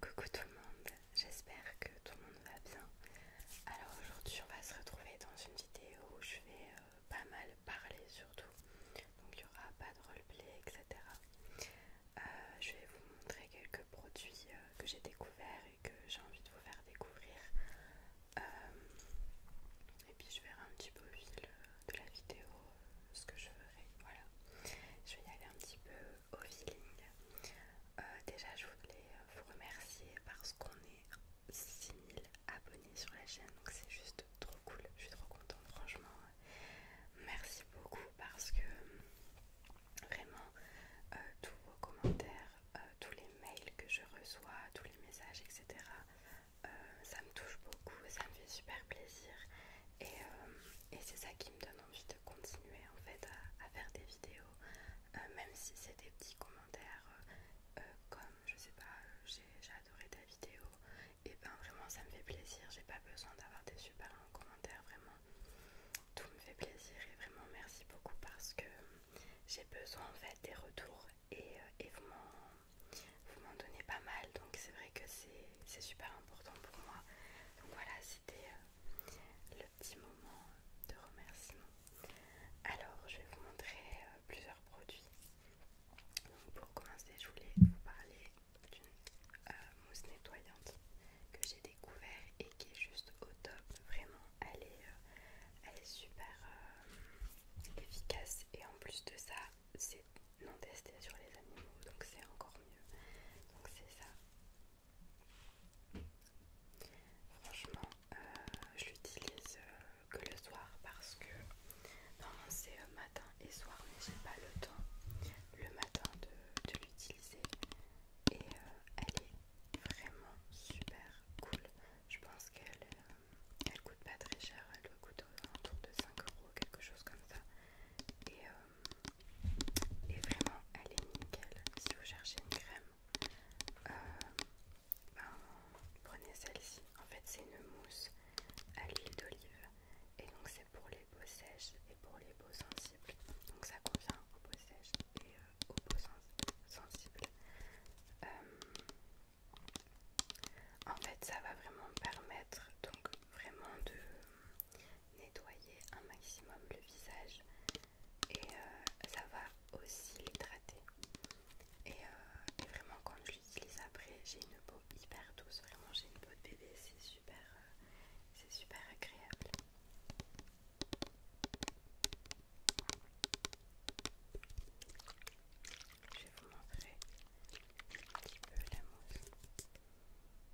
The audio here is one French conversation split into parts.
Coucou tout le monde, j'espère que tout le monde va bien. Alors aujourd'hui on va se retrouver dans une vidéo où je vais euh, pas mal parler surtout. Donc il n'y aura pas de roleplay etc. Euh, je vais vous montrer quelques produits euh, que j'ai découverts et que j'ai envie de vous faire découvrir. et puis je verrai un petit peu au fil de la vidéo ce que je ferai. Voilà. Je vais y aller un petit peu euh, au feeling. Euh, déjà, je voulais euh, vous remercier parce qu'on est 6000 abonnés sur la chaîne, donc c'est juste trop cool. Je suis trop contente, franchement. Merci beaucoup parce que vraiment, tous vos commentaires, tous les mails que je reçois, tous les messages, etc., ça me touche beaucoup, ça me fait super plaisir et, c'est ça qui me donne envie de continuer en fait à, faire des vidéos, euh, même si c'est des petits commentaires euh, euh, comme je sais pas, j'ai adoré ta vidéo, et ben vraiment ça me fait plaisir, j'ai pas besoin d'avoir des super longs commentaires, vraiment tout me fait plaisir et vraiment merci beaucoup parce que j'ai besoin en fait des retours et, et vous m'en donnez pas mal donc c'est vrai que c'est super important pour moi donc voilà c'était le petit moment de remerciement. Alors, je vais vous montrer euh, plusieurs produits. Donc, pour commencer, je voulais vous parler d'une euh, mousse nettoyante que j'ai découvert et qui est juste au top. Vraiment, elle est, euh, elle est super efficace et en plus de ça, c'est non testé sur les animaux, donc c'est encore mieux. Donc c'est ça. Franchement, euh, je l'utilise euh, que le soir parce que normalement c'est euh, matin et soir, mais j'ai pas le temps le matin de, l'utiliser. Et elle est vraiment super cool. Je pense qu'elle coûte pas très cher, elle coûte autour de 5 euros, quelque chose comme ça et vraiment elle est nickel. Si vous cherchez une crème, euh, ben, prenez celle-ci. En fait, c'est une mousse à l'huile d'olive et donc c'est pour les peaux sèches et pour les peaux sensibles. Donc ça convient aux peaux sèches et euh, aux peaux sensibles. Euh, en fait, ça va vraiment permettre donc vraiment de nettoyer un maximum le visage et euh, ça va aussi l'hydrater. Euh, et, vraiment, quand je l'utilise après, j'ai une peau hyper douce. Vraiment, j'ai une peau de bébé, c'est super, euh, c'est super agréable. Je vais vous montrer un petit peu la mousse.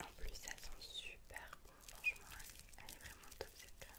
En plus, ça sent super bon, franchement, elle, est vraiment top cette crème.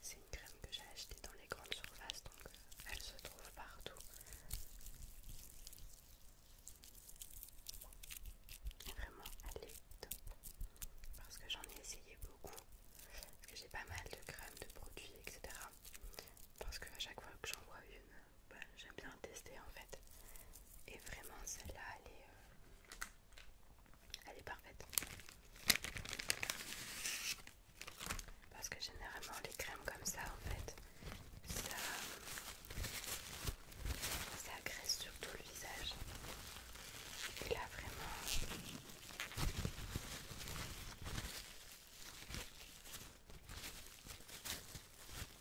C'est une crème que j'ai achetée dans les grandes surfaces, donc euh, elle se trouve partout. vraiment, elle est top parce que j'en ai essayé beaucoup, parce que j'ai pas mal de crèmes, de produits, etc. Parce que à chaque fois que j'en vois une, bah, j'aime bien tester en fait. Et vraiment celle-là elle est euh, elle est parfaite. Parce que généralement les crèmes comme ça en fait ça, ça agresse surtout le visage. Et là vraiment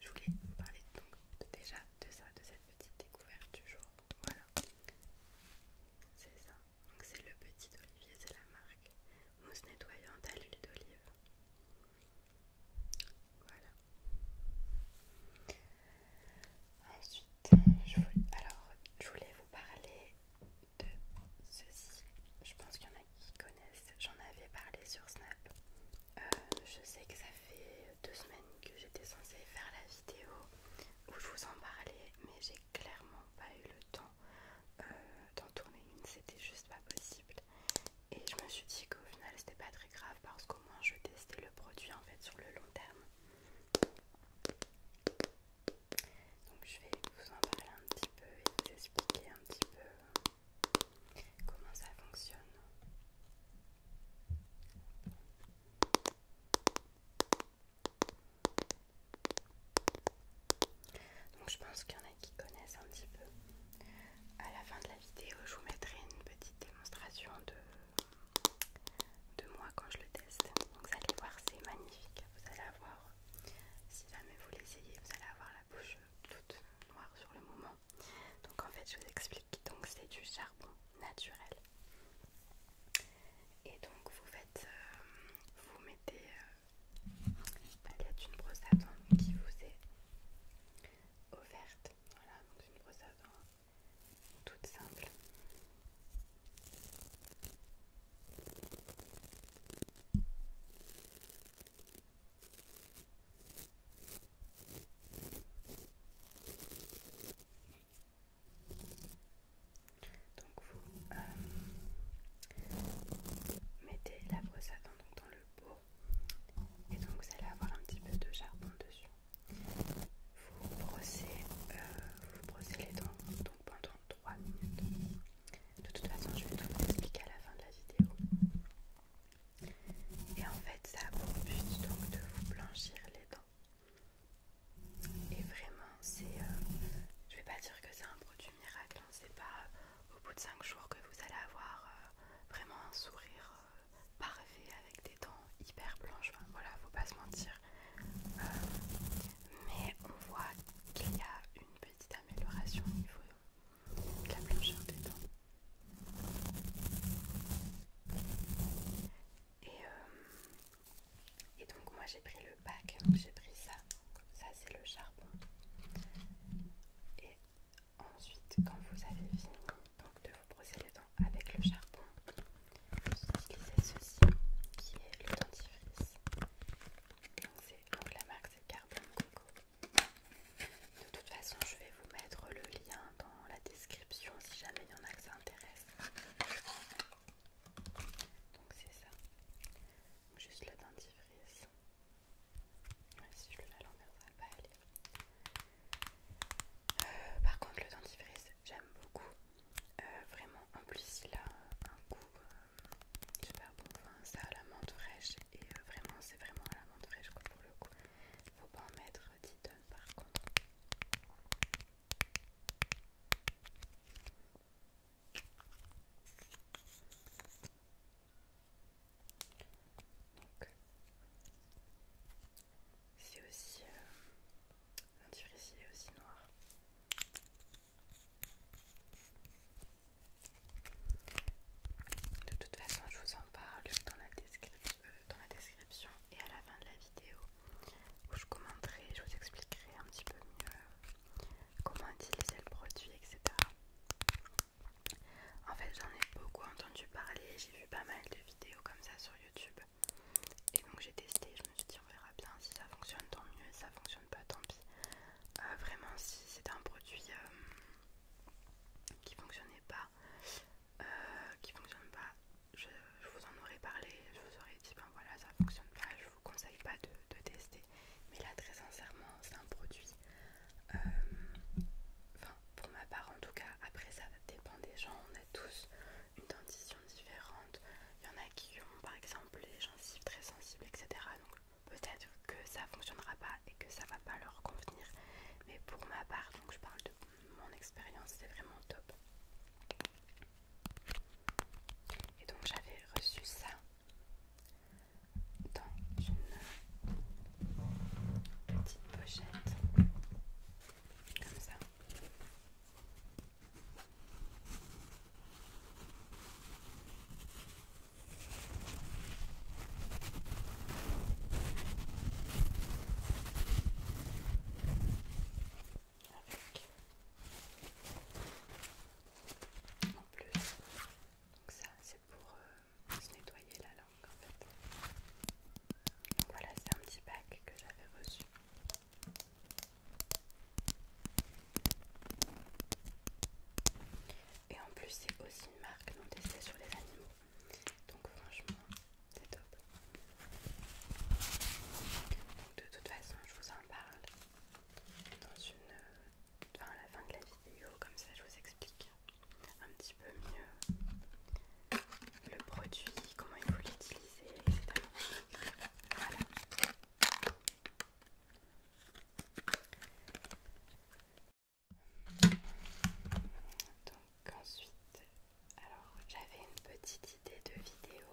je voulais vous parler donc, déjà de ça, de cette petite découverte du jour. Voilà, c'est ça. Donc c'est le petit olivier, c'est la marque mousse nettoyante à l'huile d'olive. Voilà. Ensuite, alors je voulais vous parler de ceci. Je pense qu'il y en a qui connaissent. J'en avais parlé sur Snap. Euh, je sais que ça fait deux semaines que j'étais censée faire la vidéo où je vous en parlais, mais j'ai clairement pas eu le temps euh, d'en tourner une, c'était juste pas possible. Et je me suis dit qu'au final c'était pas très grave parce qu'au moins je testais le produit en fait sur le long terme. Donc je vais vous en parler un petit peu et vous expliquer un petit peu euh, Comment ça fonctionne donc je pense qu'il y en a qui connaissent un petit peu. À la fin de la vidéo, je vous mettrai une petite démonstration de, de moi quand je le teste. Donc vous allez voir, c'est magnifique. Vous allez avoir, si jamais vous l'essayez, vous allez avoir la bouche toute noire sur le moment. Donc en fait je vous explique, donc c'est du charbon naturel. Et donc vous faites, euh, vous mettez une euh, y d'une brosse à dents qui vous est offerte. Voilà, donc une brosse à dents toute simple. Donc vous euh, mettez la brosse à dents dans le pot et donc vous allez avoir un petit peu de charbon dessus. Vous brossez, euh, les dents pendant 3 minutes. De toute façon je vais tout vous expliquer à la fin de la vidéo. Et en fait, ça a pour but donc de vous blanchir les dents. Et vraiment, c'est. Euh, je vais pas dire que c'est un produit miracle, hein, c'est pas euh, au bout de 5 jours que vous allez avoir euh, vraiment un sourire parfait avec des dents hyper blanches. voilà, faut pas se mentir. mais on voit qu'il y a une petite amélioration au niveau de la blancheur des dents. Euh, et, donc moi j'ai pris le bac hein, j'ai pris ça, ça c'est le charbon. Et ensuite quand vous avez fini de vous brosser les dents avec le charbon, vous utilisez ceci qui est le dentifrice. Donc, la marque c'est Carbon Coco. De toute façon, je vais vous mettre le lien dans la description si jamais il y en a que ça intéresse. Donc c'est ça. Juste le dentifrice. si je le mets l'envers, va pas aller. Euh, par contre, le dentifrice, j'aime beaucoup. Euh, vraiment, en plus, il a un goût euh, super bon. ça a la menthe Et vraiment, c'est vraiment à la menthe pour le coup. Faut pas en mettre 10 tonnes par contre. c'est aussi un ici est aussi noir. De toute façon, je vous en en parle euh, dans la, description et à la fin de la vidéo où je commenterai, je vous expliquerai un petit peu mieux comment utiliser le produit, etc. En fait, j'en ai beaucoup entendu parler, j'ai vu pas mal de vidéos comme ça sur YouTube et donc j'ai testé. Je me suis dit, on verra bien si ça fonctionne, tant mieux, si ça fonctionne pas, tant pis. Euh, vraiment, si c'est un produit euh, qui fonctionnait pas, euh, qui fonctionne pas, je, vous en aurais parlé, je vous aurais dit ben voilà ça fonctionne pas, je vous conseille pas de, tester. Mais là très sincèrement c'est un produit, euh, enfin pour ma part en tout cas, après ça dépend des gens, on a tous une dentition différente, il y en a qui ont par exemple les gencives très sensibles etc. Donc peut-être que ça fonctionnera pas et que ça va pas leur convenir mais pour ma part donc je parle de mon expérience c'est vraiment top et donc j'avais reçu ça dans une petite pochette comme ça avec. En plus, donc ça c'est pour euh, se nettoyer la langue en fait. voilà, c'est un petit bac que j'avais reçu. Et en plus, c'est aussi une marque non testée sur les animaux donc franchement c'est top donc de toute façon je vous en parle dans une à la fin de la vidéo comme ça je vous explique un petit peu mieux le produit comment il faut l'utiliser etc voilà donc ensuite, alors j'avais une petite idée de vidéo,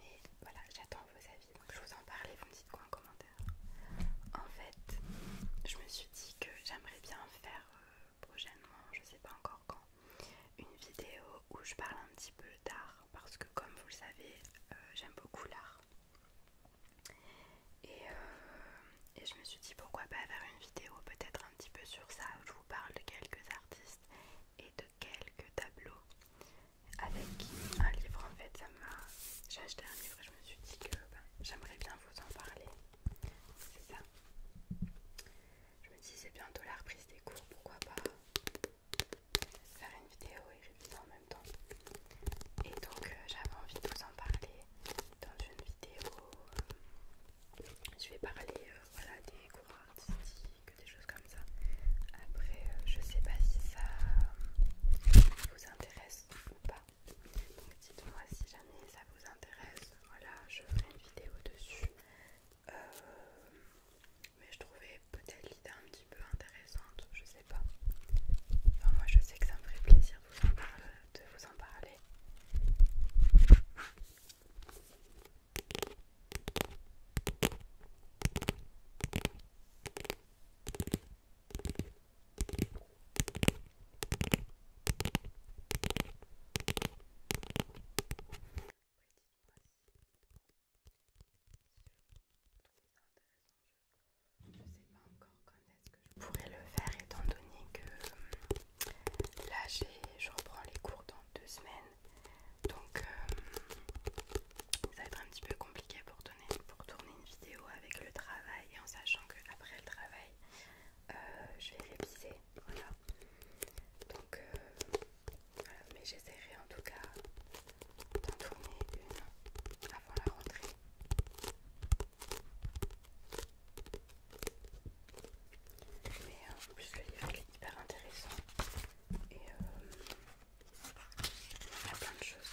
mais voilà, j'attends vos avis, donc je vous en parle vous me dites quoi en commentaire. En fait, je me suis dit que j'aimerais bien faire euh, prochainement, je sais pas encore quand, une vidéo où je parle un petit peu d'art, parce que comme vous le savez, euh, j'aime beaucoup l'art. Euh, et, je me suis dit pourquoi pas faire une vidéo peut-être un petit peu sur ça où je vous parle de quelques artistes et de quelques tableaux avec un livre en fait j'ai acheté un livre et je me suis dit que ben, j'aimerais bien vous en parler c'est ça je me dis c'est bientôt la reprise des cours pourquoi pas faire une vidéo et réviser en même temps et donc euh, j'avais envie de vous en parler dans une vidéo. Euh, je vais parler euh, des cours artistiques, des choses comme ça. Après, je sais pas si ça vous intéresse ou pas. Donc dites-moi si jamais ça vous intéresse. Voilà, je ferai une vidéo dessus. mais je trouvais peut-être l'idée un petit peu intéressante, je sais pas. Enfin, moi je sais que ça me ferait plaisir de vous en parler de vous en parler je ne sais pas encore quand est-ce que je pourrais le faire étant donné que euh, là je reprends les cours dans deux semaines donc euh, ça va être un petit peu compliqué pour, pour tourner une vidéo avec le travail en sachant que après le travail euh, je vais réviser voilà donc mais j'essaierai en tout cas d'en tourner une avant la rentrée mais euh, en plus le livre est hyper intéressant et euh, il y a plein de choses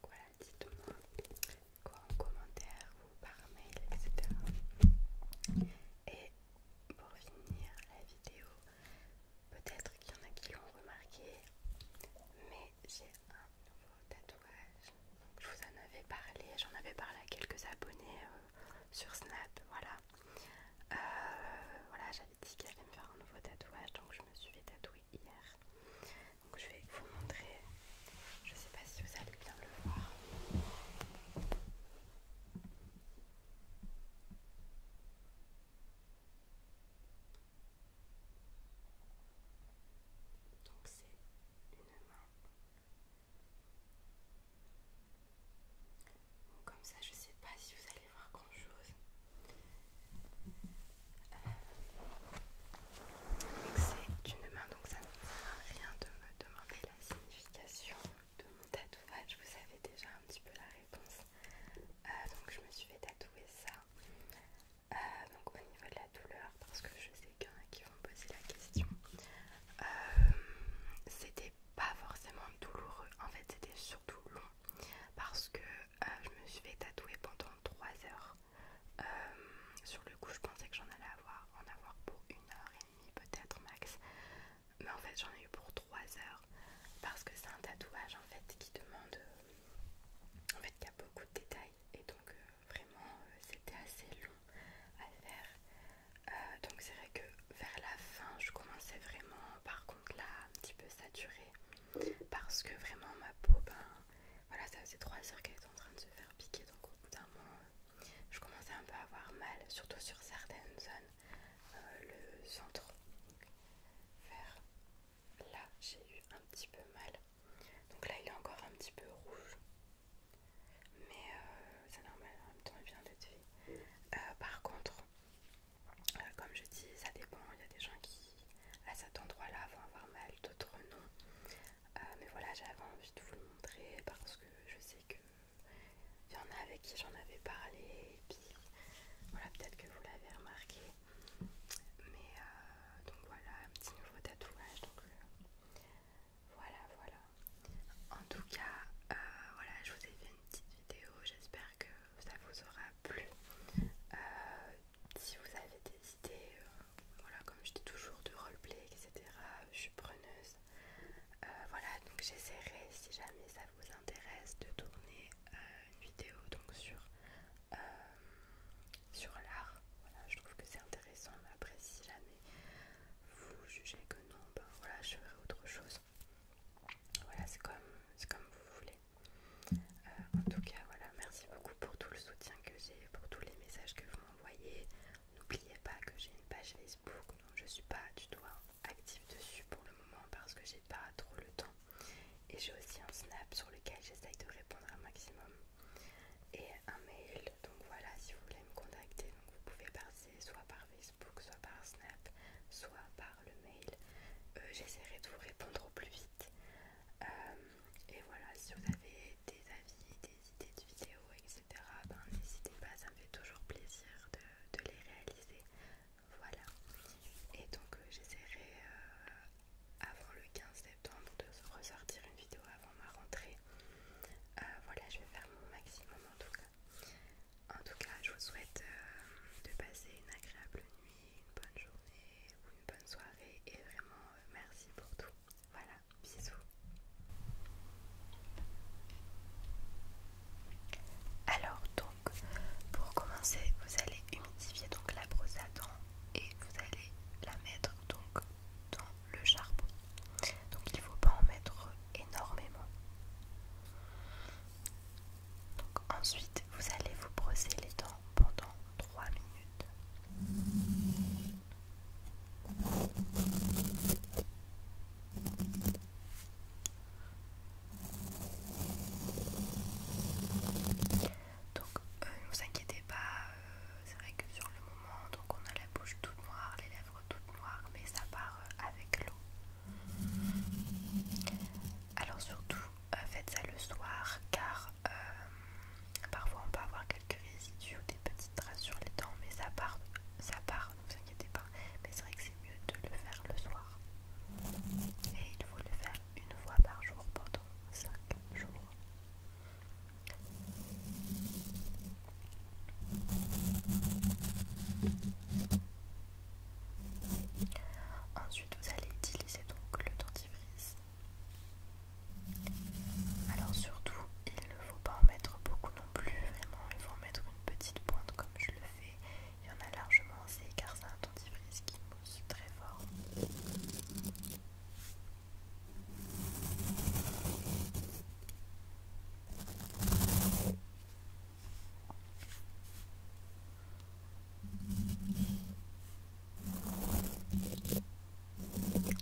voilà, dites-moi quoi en commentaire ou par mail, etc. Et pour finir la vidéo, Peut-être qu'il y en a qui l'ont remarqué, mais j'ai un nouveau tatouage. je vous en avais parlé, j'en avais parlé à quelques abonnés euh, sur Snap, voilà. Euh, voilà, j'avais dit qu'il allait me faire un nouveau tatouage, donc je me suis fait tatouer hier. Donc je vais vous montrer, je sais pas si vous allez bien le voir. Donc c'est une main. comme ça, je ne sais pas si vous allez voir grand chose. Euh, c'est une main, donc ça ne sert à rien de me demander la signification de mon tatouage. Vous avez déjà un petit peu la réponse. Euh, donc je me suis fait tatouer ça euh, donc au niveau de la douleur, parce que je sais qu'il y en a qui vont me poser la question, euh, c'était pas forcément douloureux, en fait c'était surtout long, parce que euh, je me suis fait tatouer pendant 3 heures. sur le coup je pensais que j'en allais avoir, en avoir pour une heure et demie peut-être max, mais en fait j'en ai eu pour 3 heures parce que c'est un tatouage en fait qui demande euh, en fait qu'il y a beaucoup de détails et donc euh, vraiment euh, c'était assez long à faire donc c'est vrai que vers la fin je commençais vraiment par contre là un petit peu saturée parce que vraiment ma peau ben voilà ça faisait trois heures qu'elle était en train de se faire piquer donc au je commençais un peu à avoir mal surtout sur certaines zones le centre vers Là, j'ai eu un petit peu mal. Donc là, il est encore un petit peu rouge. Mais euh, c'est normal, en même temps, il vient d'être fait. Euh, par contre, euh, comme je dis, ça dépend. Il y a des gens qui, à cet endroit-là, vont avoir mal, d'autres non. mais voilà, j'avais envie de vous le montrer parce que je sais qu'il y en a avec qui j'en avais parlé. Et puis, voilà, peut-être que vous l'avez remarqué. Mais euh, donc voilà, un petit nouveau tatouage. Donc euh, voilà, voilà. En tout cas, euh, voilà, je vous ai fait une petite vidéo. J'espère que ça vous aura plu. si vous avez des idées, voilà, comme je dis toujours, de roleplay, etc., je suis preneuse. voilà, donc j'essaierai, si jamais ça vous intéresse, de tourner une vidéo donc sur, euh, sur l'art. Voilà, je trouve que c'est intéressant, mais après si jamais vous jugez que non, ben voilà, je ferai autre chose. Voilà, c'est comme, comme vous voulez. Euh, en tout cas, voilà, merci beaucoup pour tout le soutien que j'ai, pour tous les messages que vous m'envoyez. N'oubliez pas que j'ai une page Facebook, donc je suis pas du tout active dessus pour le moment parce que j'ai pas trop le temps. Et j'ai aussi un snap sur lequel j'essaye de répondre un maximum. Et un mail, donc voilà, si vous voulez me contacter, donc vous pouvez passer soit par Facebook, soit par Snap, soit par le mail. Euh, j'essaierai de vous répondre au plus vite. Euh, et voilà, si vous avez des avis, des idées de vidéos, etc., ben, n'hésitez pas, ça me fait toujours plaisir de les réaliser. Voilà. Et donc euh, j'essaierai euh, avant le 15 septembre de ressortir une vidéo avant ma rentrée. Euh, voilà, je vais faire mon maximum en tout cas. En tout cas, je vous souhaite de passer une agréable nuit, une bonne journée ou une bonne soirée. Et vraiment, merci pour tout. Voilà, bisous. Alors donc pour commencer, vous allez humidifier donc la brosse à dents et vous allez la mettre donc dans le charbon. Donc il ne faut pas en mettre énormément. ensuite, vous allez vous brosser les dents pendant 3 minutes. Donc euh, ne vous inquiétez pas, euh, c'est vrai que sur le moment, donc on a la bouche toute noire, les lèvres toutes noires, mais ça part euh, avec l'eau. Alors surtout, faites ça le soir car parfois on peut avoir quelques résidus ou des petites traces sur les dents, mais ça part, ça part, ne vous inquiétez pas. Mais c'est vrai que c'est mieux de le faire le soir. Et il faut le faire une fois par jour pendant 5 jours. Ensuite, vous allez utiliser donc le dentifrice. Alors surtout, il ne faut pas en mettre beaucoup non plus, vraiment, il faut en mettre une petite pointe comme je le fais il y en a largement assez car c'est un dentifrice qui mousse très fort.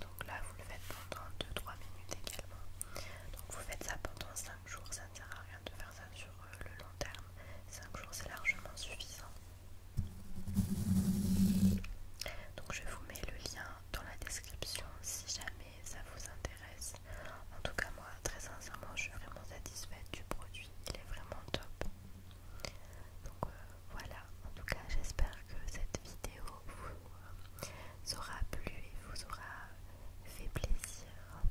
Donc là vous le faites pendant 2-3 minutes également. Donc vous faites ça pendant 5 jours, ça ne sert à rien de faire ça sur euh, le long terme. 5 jours c'est largement suffisant donc je vous mets le lien dans la description si jamais ça vous intéresse en tout cas moi très sincèrement je suis vraiment satisfaite du produit il est vraiment top donc euh, voilà en tout cas j'espère que cette vidéo vous, euh, aura plu et vous aura fait plaisir